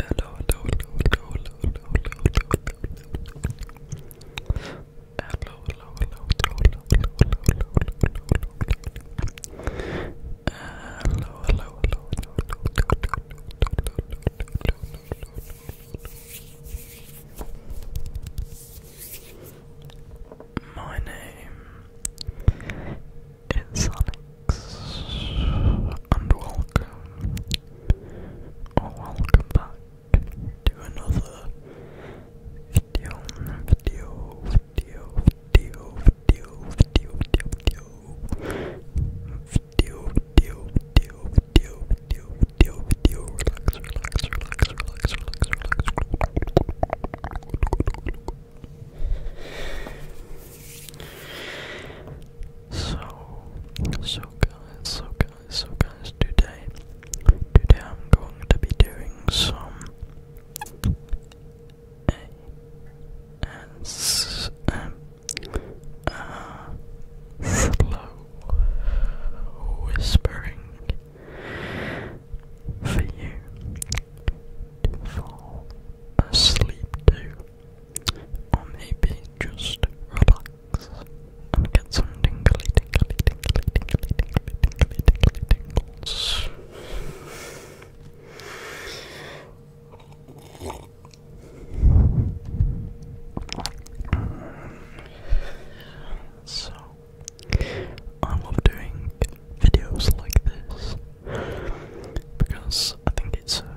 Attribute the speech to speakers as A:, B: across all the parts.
A: Hello, hello, hello, hello, hello, hello, hello, hello, hello, hello, hello, hello, hello, hello, hello, hello, My name is Sonic and welcome, or welcome back to another video, video, video, video, video, video, video, video, video, video, video, video, video, relax, relax, relax, relax, relax, relax. So, so guys, so guys, so guys, today, today I'm going to be doing some ASMR uh, slow whispering for you to fall asleep to, or maybe just relax and get some So, I love doing videos like this because I think it's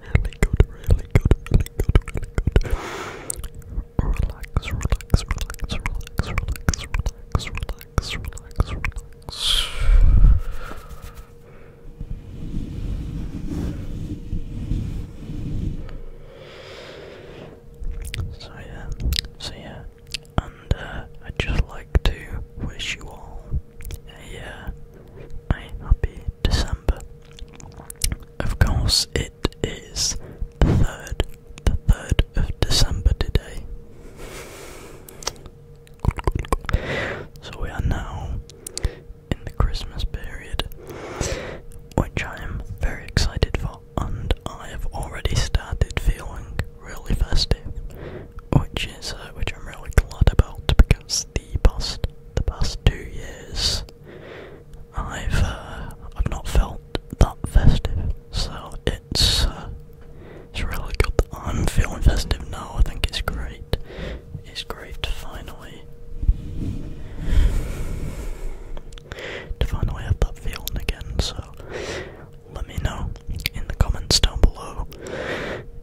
A: really good, really good, really good, really good. Relax, relax, relax, relax, relax, relax, relax, relax, relax. So yeah, so yeah, and I'd just like to wish you all a, uh, a happy December. Of course, it is the 3rd, the 3rd of December today. So we are now in the Christmas period, which I am very excited for, and I have already started feeling really festive, which is uh, which I'm really glad about because the past the past two years, I've uh, I've not felt that festive, so it's uh, it's really good that I'm feeling festive now. I think it's great. It's great to finally to finally have that feeling again. So let me know in the comments down below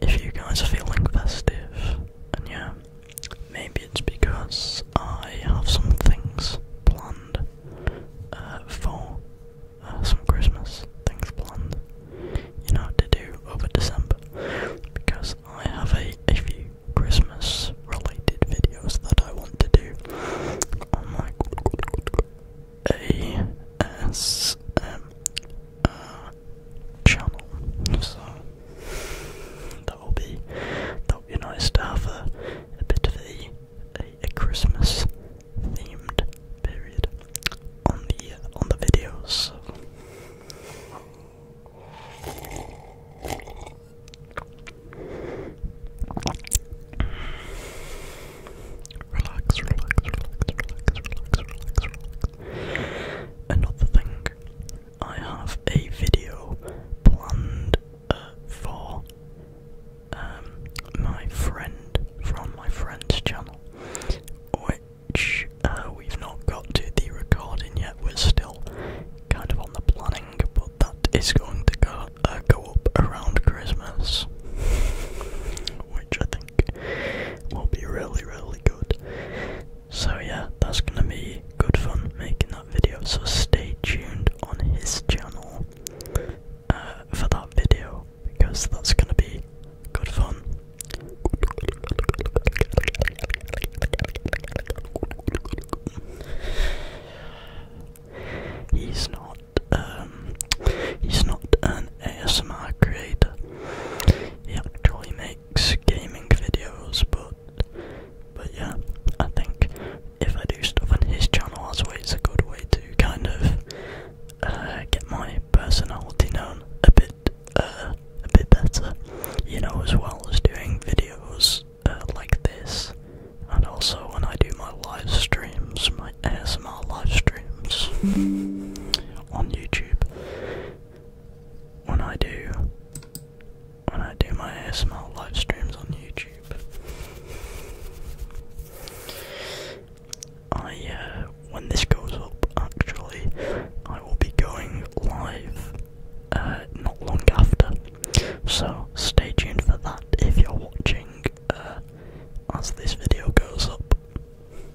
A: if you guys are feeling festive yeah, maybe it's because I have some things planned uh, for uh, some Christmas things planned, you know, what to do over December, because I have a, a few Christmas related videos that I want to do on channel. So that will be that will be nice to have a, bit of a a, Christmas themed period on the uh, on the videos. So. Relax, relax, relax, relax, relax, relax, relax, Another thing, I have a video planned uh, for um, my friend from my friend's channel, which uh, we've not got to the recording yet. We're still kind of on the planning, but that is going to go uh, go up around Christmas, which I think will be really, really good. So, yeah, that's gonna be good fun making that video. So, stay tuned on his channel uh, for that video because that's gonna be good fun. He's not um, he's not an ASMR creator. He actually makes gaming videos, but but yeah, I think if I do stuff on his channel, that's way it's a good way to kind of uh, get my personality known a bit uh, a bit better, you know, as well as doing videos uh, like this, and also when I do my live streams, my ASMR live streams on YouTube. When I do when I do my ASMR live streams on YouTube. I uh, when this goes up actually I will be going live uh, not long after. So stay tuned for that if you're watching uh, as this video goes up.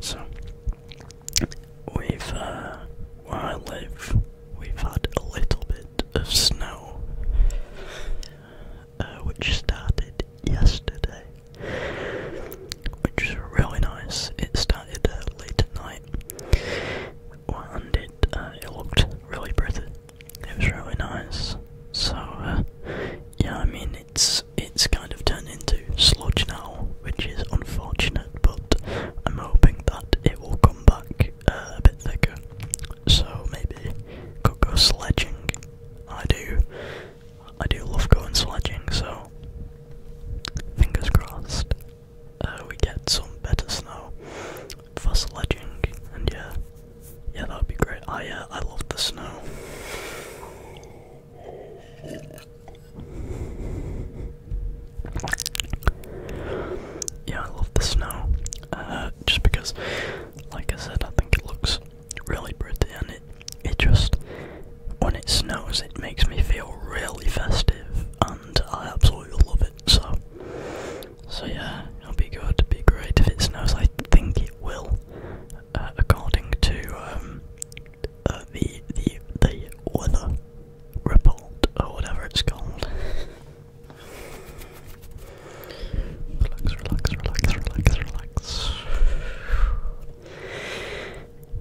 A: So, we've, uh, where I live, we've had a little bit of snow, uh, which started yesterday, which was really nice. It started uh, late at night, and it uh, it looked really pretty. It was really nice. So uh, yeah, I mean it's it's kind of turned into sludge now, which is unfortunate. But I'm hoping that it will come back a bit thicker. So maybe could go sledging. I do I do love going sledging, so fingers crossed uh, we get some better snow for sledging, and yeah, yeah, that would be great. I uh, oh, I love the snow. Yeah, I love the snow. Uh, just because, like I said, I think it looks really pretend. It, it just, when it snows, it makes me feel really festive, and I absolutely love it. So, so yeah, it'll be good. It'll be great if it snows. I think it will, uh, according to um, uh, the the the weather report or whatever it's called. relax, relax, relax, relax, relax.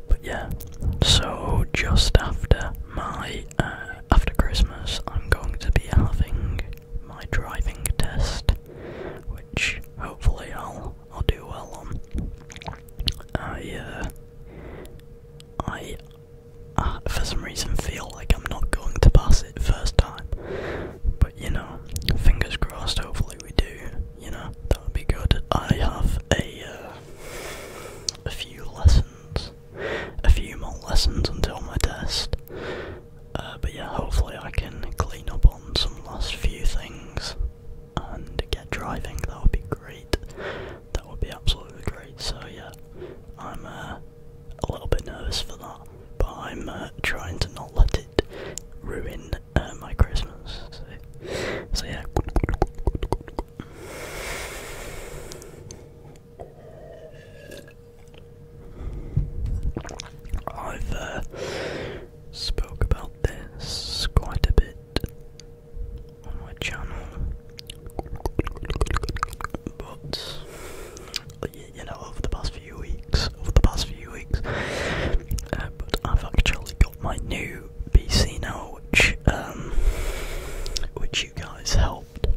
A: But yeah, so just after my uh, after Christmas, I'm going to be having my driving test, which hopefully I'll I'll do well on. I uh, I uh, for some reason feel like I'm not going to pass it first time, you know, fingers crossed, hopefully we do, you know, that would be good. I have a, uh, a few lessons, a few more lessons until my test. Uh, but yeah, hopefully I can clean up on some last few things and get driving. That would be great. That would be absolutely great. So yeah, I'm uh, a little bit nervous for that, but I'm trying to not let it ruin uh, my Christmas. So, yeah. I've uh, about this quite a bit on my channel, but you know, over the past few weeks, over the past few weeks. Uh, but I've actually got my new PC now, which um, which you guys helped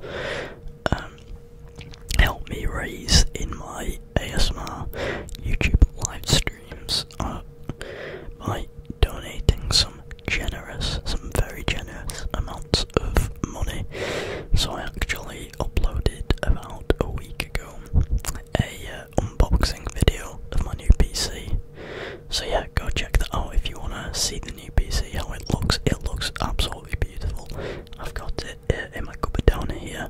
A: um, help me raise in my ASMR YouTube live streams uh, by donating some generous, some very generous amounts of money. So I actually uploaded about a week ago a uh, unboxing video of my new PC. So yeah, go check that out if you wanna see the new PC, how it looks. It looks absolutely beautiful. I've got it uh, in my cupboard down here,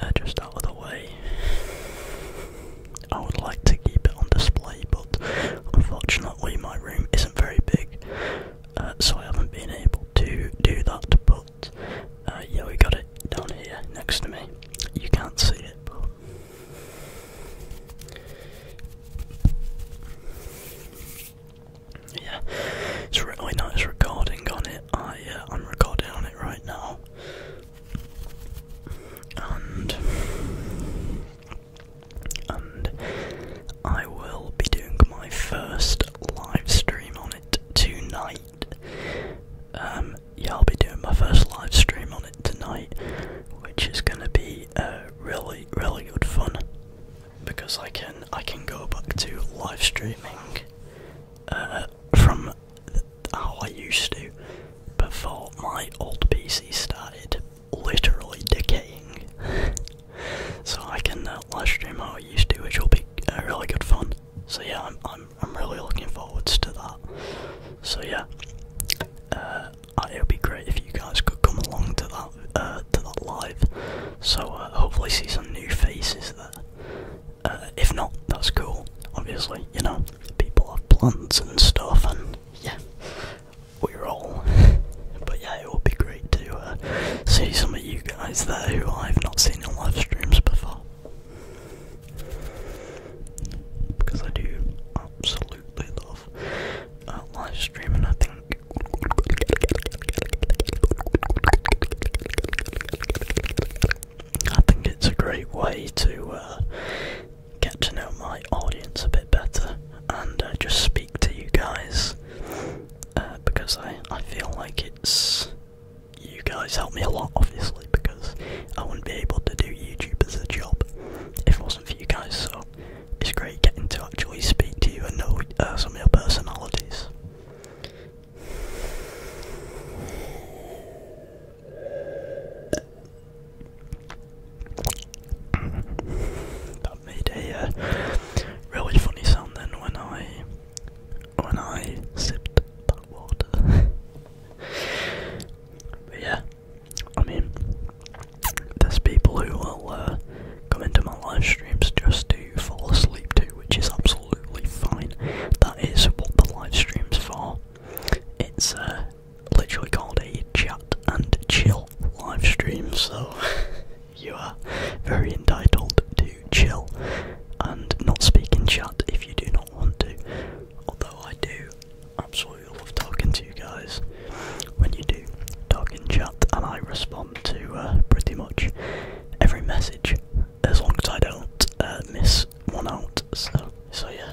A: uh, just out of the way. I would like to keep it on display, but unfortunately my room isn't very big, so I haven't been able to do that. But uh, yeah, we got it down here next to me. You can't see it, but. Yeah, it's really nice recording on it. I, am uh, recording on it right now. And. And I will be doing my first live stream on it tonight. Um, yeah, I'll be doing my first live stream on it tonight, which is gonna be uh, really, really good fun because I can I can go back to live streaming uh, from how I used to before my old PC started literally decaying so I can uh, live stream how I used to, which will be uh, really good fun. So yeah, I'm I'm really looking forwards to that. So yeah, uh, it would be great if you guys could come along to that to that live. So hopefully see some new faces there. if not, that's cool. Obviously, you know, people have plans and stuff, and yeah, we're all. but yeah, it would be great to uh, see some of you guys there who I've not seen in live streams before. Because I do absolutely love uh, live streaming, I think. I think it's a great way to uh, get to know my audience a bit better and just speak to you guys uh, because I, I feel like it's. You guys help me a lot, obviously, because I wouldn't be able to do YouTube as a job if it wasn't for you guys, so it's great getting to actually speak to you and know uh, some of your personalities. that made a uh, really funny sound then when I when I sipped that water. but yeah, I mean, there's people who will uh, come into my live streams just to fall asleep to, which is absolutely fine. That is what the live stream's for. It's uh, literally called a chat and chill live stream, so you are very entitled to chill and not speak in chat if you do not want to. Although I do absolutely love talking to you guys when you do talk in chat, and I respond to uh, pretty much every message as long as I don't uh, miss one out. So, so yeah.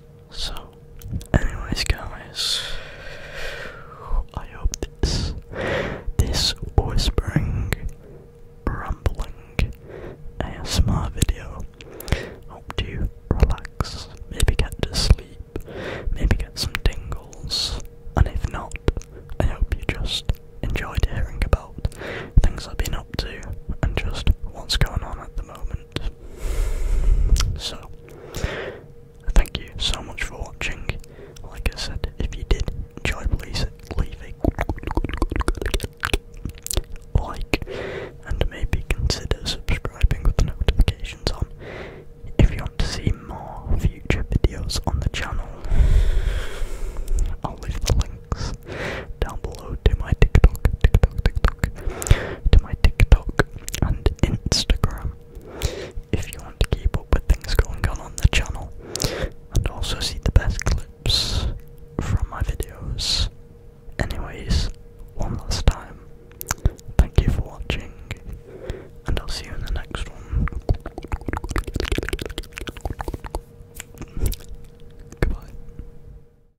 A: so, anyways, guys, I hope this this whispering, rumbling ASMR video helped you relax, maybe get to sleep, maybe get some tingles, and if not, I hope you just enjoyed hearing about things I've been up to and just what's going on at the moment. So, thank you so much for watching. Like I said, if you did enjoy, please leave a like and maybe consider subscribing with notifications on. If you want to see more future videos on the channel, I'll leave the links down below to my TikTok to my TikTok and Instagram if you want to keep up with things going on on the channel and also see the best clips from my videos. Anyways, one last time, thank you for watching and I'll see you in the next one. Goodbye.